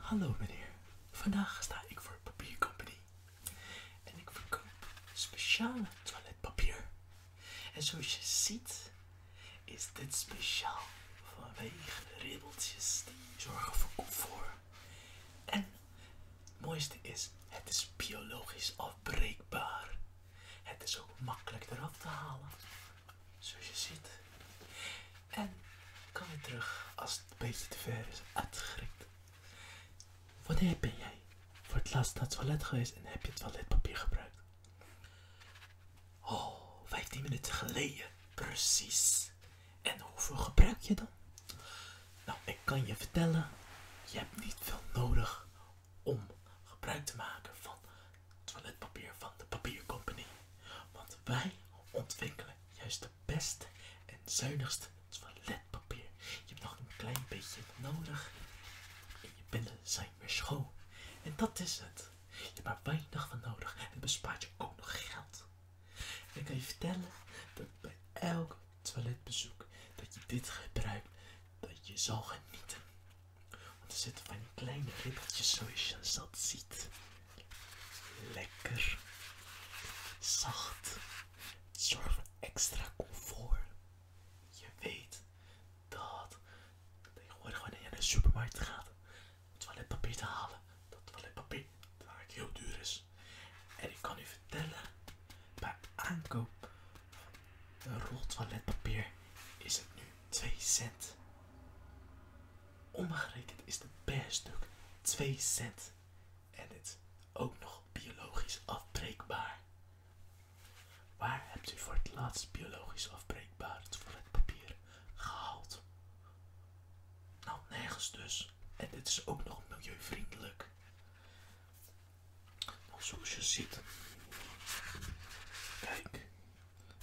Hallo meneer, vandaag sta ik voor Papier Company en ik verkoop speciale toiletpapier. En zoals je ziet is dit speciaal vanwege de ribbeltjes die zorgen voor comfort. En het mooiste is, het is biologisch afbreekbaar. Het is ook makkelijk eraf te halen. Zoals je ziet. En kan weer terug als het een te ver is uitgeschrikt. Wanneer ben jij voor het laatst naar het toilet geweest en heb je toiletpapier gebruikt? Oh, 15 minuten geleden. Precies. En hoeveel gebruik je dan? Nou, ik kan je vertellen, je hebt niet veel nodig om gebruik te maken van toiletpapier van de papiercompany Want wij ontwikkelen juist de beste en zuinigste toiletpapier. Je hebt nog een klein beetje nodig en je binnen zijn weer schoon. En dat is het. Je hebt maar weinig van nodig en bespaart je ook nog geld. ik kan je vertellen dat bij elk toiletbezoek dat je dit gebruikt, dat je zal genieten. Want er zitten van die kleine ribbeltjes zoals je dat ziet. Lekker. Zacht. zorgt voor extra comfort. Je weet dat tegenwoordig wanneer je naar de supermarkt gaat om toiletpapier te halen, dat toiletpapier vaak heel duur is. En ik kan u vertellen, bij aankoop van een rol toiletpapier is het nu 2 cent. Omgerekend is het per stuk 2 cent. En het is ook nog biologisch afbreekbaar. Waar hebt u voor het laatst biologisch afbreekbaar toiletpapier gehaald? Nou, nergens dus. En dit is ook nog milieuvriendelijk. Nou, zoals je ziet. Kijk,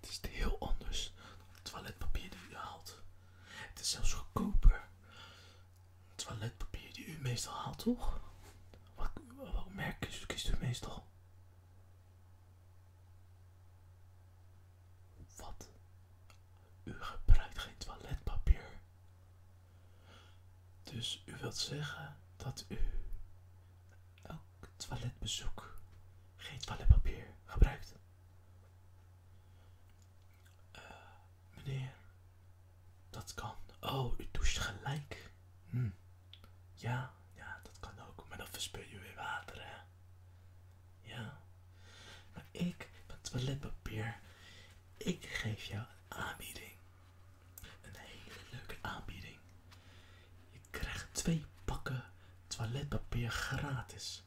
het is heel anders dan het toiletpapier die u haalt. Het is zelfs goedkoper. toiletpapier die u meestal haalt, toch? Wat, merk merk kiest u meestal? Wat? U gebruikt geen toiletpapier. Dus u wilt zeggen dat u Elk toiletbezoek geen toiletpapier gebruikt. Eh, meneer, dat kan. Oh, u doucht gelijk. Hm. Ja, ja, dat kan ook. Maar dan verspil je weer water, hè? Ja. Maar ik, met toiletpapier, ik geef jou een aanbieding. Een hele leuke aanbieding krijg twee pakken toiletpapier gratis.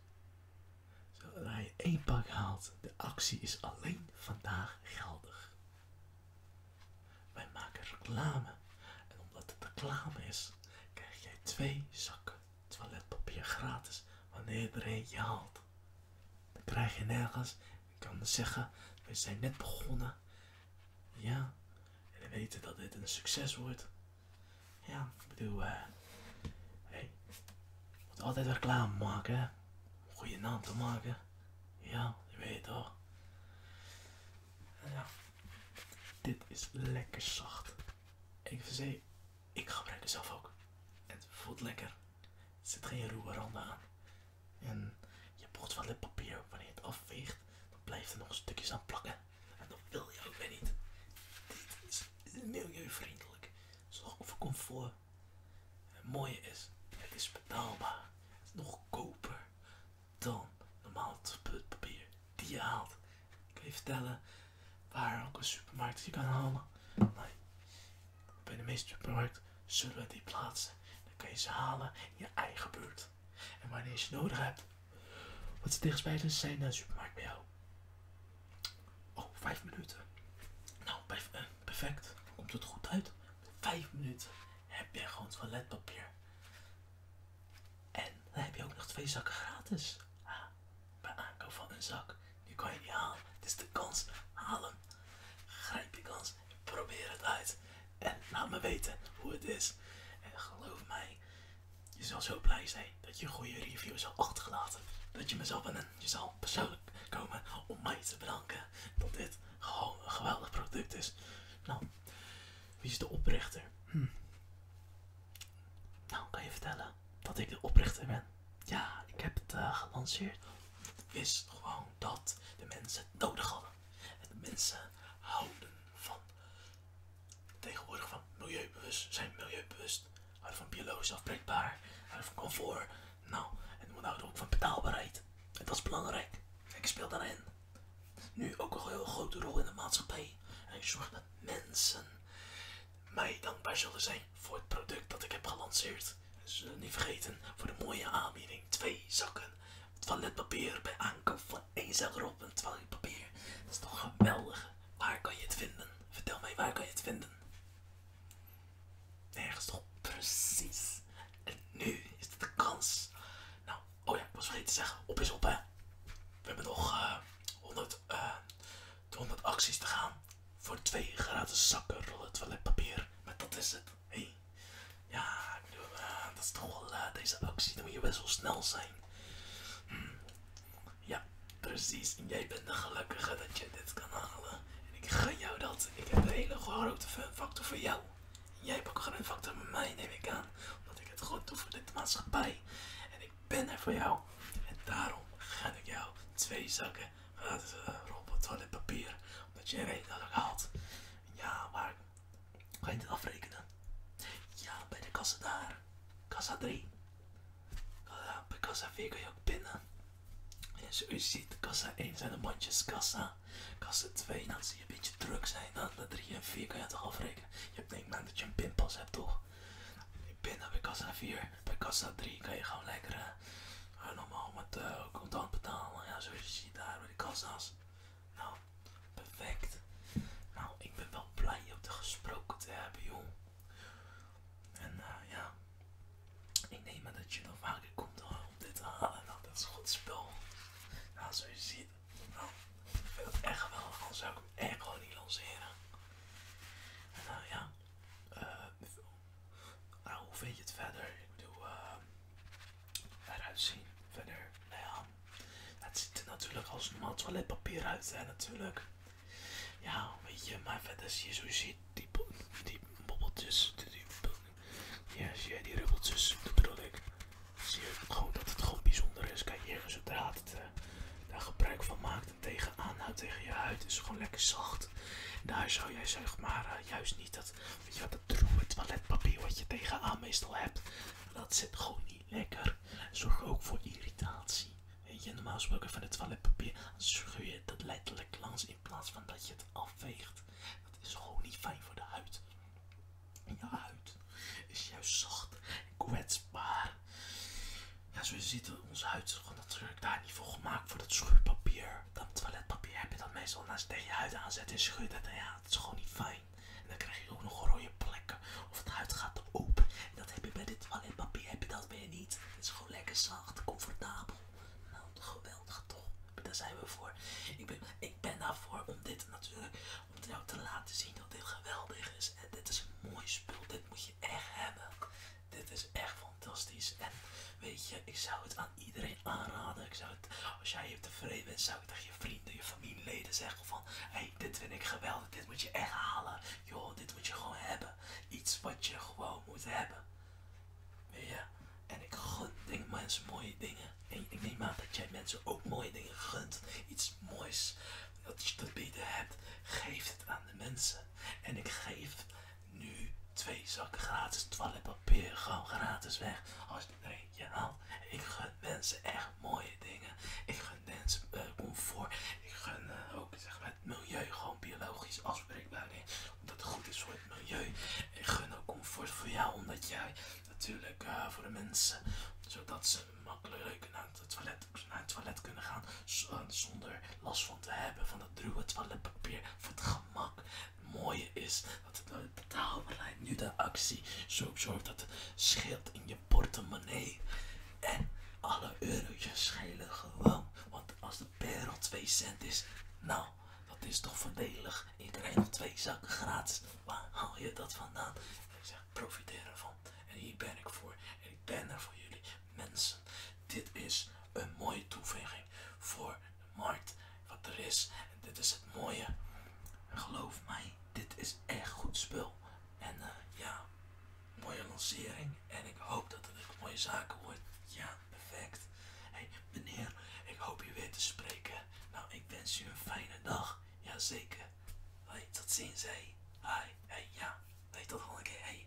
Zodra je één pak haalt, de actie is alleen vandaag geldig. Wij maken reclame en omdat het reclame is, krijg jij twee zakken toiletpapier gratis wanneer er je haalt. Dan krijg je nergens, ik kan zeggen, we zijn net begonnen ja. En we weten dat dit een succes wordt. Ja, ik bedoel, eh. Uh, hey, moet altijd reclame maken, hè? goede naam te maken. Ja, je weet toch. Ja. Dit is lekker zacht. Ik zei ik gebruik het zelf ook. Het voelt lekker. Er zit geen ruwe randen aan. En je bord van het papier, wanneer het afveegt, dan blijft er nog stukjes aan plakken. En dat wil je ook weer niet. Dit is milieuvriendelijk. Zorg over comfort. En het mooie is, het is betaalbaar. Het is nog koper dan normaal papier die je haalt. Ik kan je vertellen waar ook een supermarkt je kan halen. Bij de meeste supermarkten zullen we die plaatsen. Dan kan je ze halen in je eigen buurt. En wanneer je nodig hebt. Wat de zijn naar de supermarkt bij jou. Oh, vijf minuten. Nou, eh, perfect. Komt het goed uit? Vijf minuten heb jij gewoon toiletpapier. En dan heb je ook nog twee zakken gratis. bij aankoop van een zak. Die kan je niet halen. Het is de kans. halen. Grijp je kans. Probeer het uit. En laat me weten hoe het is. En geloof mij, je zal zo blij zijn dat je een goede review zal achtergelaten. Dat je mezelf en Je zal persoonlijk komen om mij te bedanken dat dit gewoon een geweldig product is. Nou, wie is de oprichter? Hm. Nou, kan je vertellen dat ik de oprichter ben? Ja, ik heb het eh, gelanceerd. Het Is gewoon dat de mensen het nodig hadden. En de mensen houden van tegenwoordig van milieubewust, zijn milieubewust, houden van biologisch afbreekbaar, houden van comfort. Nou, en we houden ook van betaalbaarheid. En dat is belangrijk. Ik speel daarin. Nu ook een heel grote rol in de maatschappij. En ik zorg dat mensen mij dankbaar zullen zijn voor het product dat ik heb gelanceerd. dus, eh, niet vergeten voor de mooie aanbieding. Twee zakken toiletpapier bij aankoop van 1 euro op toiletpapier. Dat is toch geweldig. Waar kan je het vinden? Vertel mij, waar kan je het vinden? Nergens toch? Precies. En nu is het de kans. Nou, oh ja, ik was vergeten te zeggen. Op is op, hè. We hebben nog 100, eh, eh, acties te gaan voor twee gratis zakken rollen toiletpapier. Maar dat is het hey, ja, eh, dat is toch wel eh, deze actie, dan moet je best wel snel zijn. Hm. Ja, precies. jij bent de gelukkige dat je dit kan halen. En ik ga jou dat. Ik heb een hele grote factor voor jou. jij hebt ook een factor met mij, neem ik aan. Omdat ik het goed doe voor dit maatschappij. En ik ben er voor jou. En daarom ga ik jou twee zakken gratis eh, robot toiletpapier. Omdat je dat ik haalt. Ja, waar kan je dit afrekenen? Ja, bij de kassa daar. Kassa 3. Ja, bij kassa 4 kun je ook pinnen. En zoals je ziet, kassa 1 zijn de bandjes kassa. Kassa 2, nou, dan zie je een beetje druk zijn. Dan de 3 en 4 kan je toch afrekenen. Je hebt denk maar dat je een pinpas hebt toch? Nou, pinnen bij kassa 4. Bij kassa 3 kan je gewoon lekker eh, normaal met uh, contant betalen. Ja, zoals je ziet daar bij de kassa's. Nou, perfect. Nou, ik ben wel blij op de gesproken te hebben, joh. En eh, ja, ik neem aan dat je nog vaker komt om dit te halen. Nou, dat is een goed spel. Nou, zoals je ziet. Nou, ik vind het echt wel, Dan zou ik hem echt gewoon niet lanceren. En nou ja, eh. Nou, hoe vind je het verder? Ik bedoel, ehm, eruit zien. Verder, nou ja, het ziet er natuurlijk als normaal toiletpapier uit, zijn natuurlijk. Ja, weet je, maar verder zie je zo, die, die bobbeltjes, die, ja, zie je die rubbeltjes, dat bedoel ik. Zie je gewoon dat het gewoon bijzonder is. Kijk, hier, zodra het eh, daar gebruik van maakt en tegen aanhoudt tegen je huid, is gewoon lekker zacht. Daar zou jij zeg maar eh, juist niet dat, weet je dat toiletpapier wat je tegenaan meestal hebt. Dat zit gewoon niet lekker. Zorg ook voor irritatie. Weet je, normaal gesproken van het toiletpapier scheur je het letterlijk langs in plaats van dat je het afveegt. Dat is gewoon niet fijn voor de huid. En je huid is juist zacht en kwetsbaar. Ja, zoals je ziet, onze huid is gewoon dat daar niet voor gemaakt voor dat schuurpapier. Dat toiletpapier heb je dat meestal naast tegen je huid aanzet en schuurt het. En nou ja, het is gewoon niet fijn. dan krijg je ook nog rode plekken of het huid gaat open. En dat heb je bij dit toiletpapier heb je dat weer niet. Het is gewoon lekker zacht, comfortabel. Nou, geweldig toch? Daar zijn we voor. Ik ben, ik ben daarvoor om dit natuurlijk, om jou te laten zien dat dit geweldig is. En dit is een mooi spul, dit moet je echt hebben. Dit is echt fantastisch. En weet je, ik zou het aan iedereen aanraden. Ik zou het, als jij tevreden bent, zou ik tegen je vrienden, je familieleden zeggen van... hey, dit vind ik geweldig. Dit moet je echt halen. Joh, dit moet je gewoon hebben. Iets wat je gewoon moet hebben. Weet je? En ik gun denk, mensen mooie dingen. En ik neem aan dat jij mensen ook mooie dingen gunt. Iets moois dat je te bieden hebt. Geef het aan de mensen. En ik geef nu twee zakken gratis toiletpapier gewoon gratis weg. Als je er haalt. Ik gun mensen echt mooie dingen. Ik gun mensen eh, comfort. Ik gun eh, ook zeg maar, het milieu gewoon biologisch afbreekbaar Omdat het goed is voor het milieu. Ik gun ook comfort voor jou. Omdat jij natuurlijk eh, voor de mensen. Zodat ze makkelijk naar het toilet, naar het toilet kunnen gaan. Zonder last van te hebben van dat druwe toiletpapier. Voor het gemak. Het mooie is dat het lijkt nu de actie zo zorgt dat het scheelt in je portemonnee. En alle eurotjes schelen gewoon. Want als de per 2 cent is, nou, dat is toch voordelig. Ik krijg nog twee zakken gratis. Waar haal je dat vandaan? ik zeg, profiteer ervan. En hier ben ik voor. En ik ben er voor jullie. Mensen dit is een mooie toevoeging voor de markt wat er is. En dit is het mooie. geloof mij, dit is echt goed spul. En eh, ja, mooie lancering. En ik hoop dat het een mooie zaken wordt. Ja, perfect. hey, meneer, ik hoop je weer te spreken. Nou, ik wens u een fijne dag. Jazeker. zeker tot ziens, hé. Hey. ja. Hey, tot volgende keer, hey.